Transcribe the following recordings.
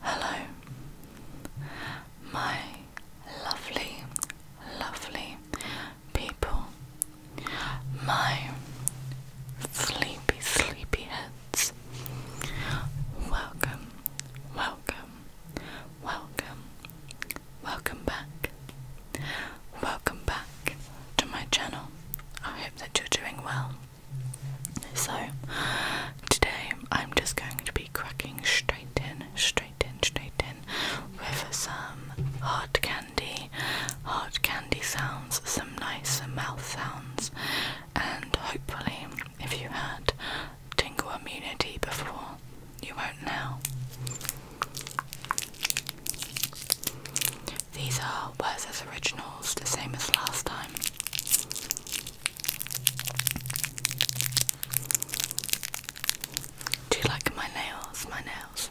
Hello, my lovely, lovely people, my sleepy, sleepy Welcome, welcome, welcome, welcome back Welcome back to my channel. I hope that you're doing well. So, today I'm just going to be cracking straight in, straight in, straight in with some hot candy, hot candy sounds, some nice mouth sounds, and hopefully, if you had tingle immunity before, you won't now. These are Where's originals, the same as last time. Do you like my nails? My nails.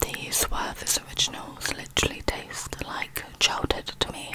These Werther's originals literally taste like childhood to me.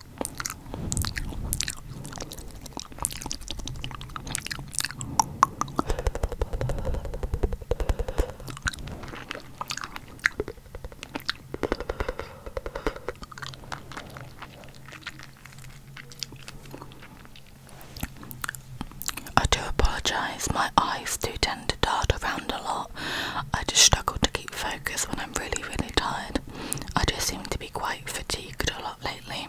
I do apologise, my eyes do tend to dart around a lot. I just struggle to keep focus when I'm really, really tired. I just seem to be quite fatigued a lot lately.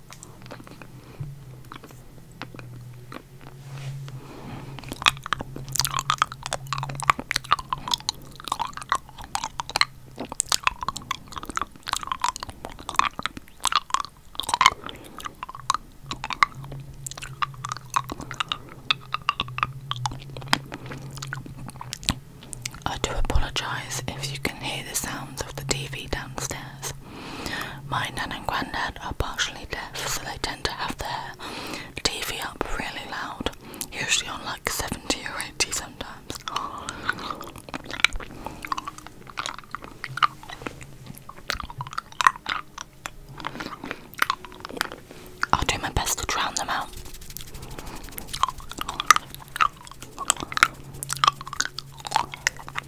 I do apologise if you can hear the sounds of the TV downstairs. My nan and granddad are partially deaf, so they tend to have their TV up really loud, usually on like 70 or 80 sometimes. I'll do my best to drown them out.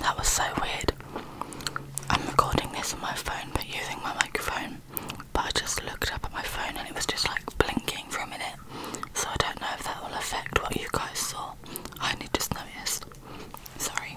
That was so weird. I'm recording this on my phone but using my microphone, but I just looked up at my phone and it was just like blinking for a minute. So I don't know if that will affect what you guys saw. I only just noticed. Sorry.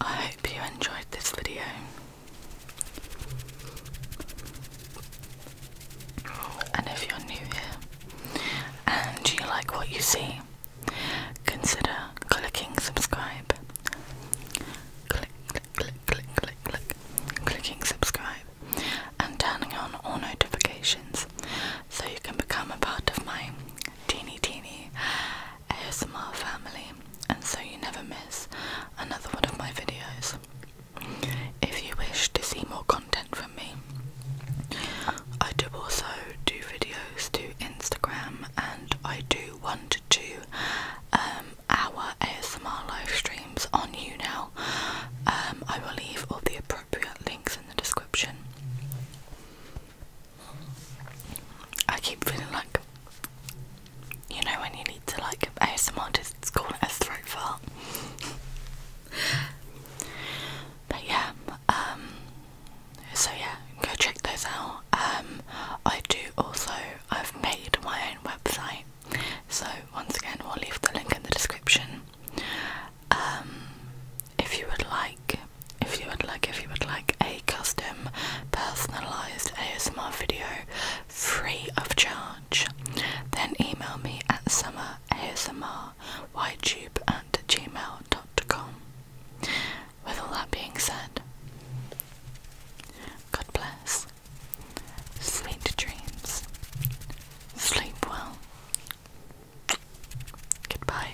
I hope you enjoyed this video. And if you're new here and you like what you see, consider clicking subscribe. Click, click, click, click, click, click, clicking subscribe and turning on all notifications so you can become a part of my teeny, teeny ASMR family, and so you never miss another one of my videos. If you wish to see more content from me, I do also do videos to Instagram, and I do one to two um, hour ASMR live streams on you now. Um, I will leave all the appropriate links in the description. I keep feeling like, you know, when you need to like ASMR artists call it a throat fart. but yeah, um, so yeah, go check those out. Um, I do also, I've made my own website, so once again, we'll leave the link in the description. Um, if you would like if you would like if you would like a custom personalized ASMR video free of charge, then email me at summerasmrytube at gmail.com. With all that being said, God bless, sweet dreams, sleep well, goodbye.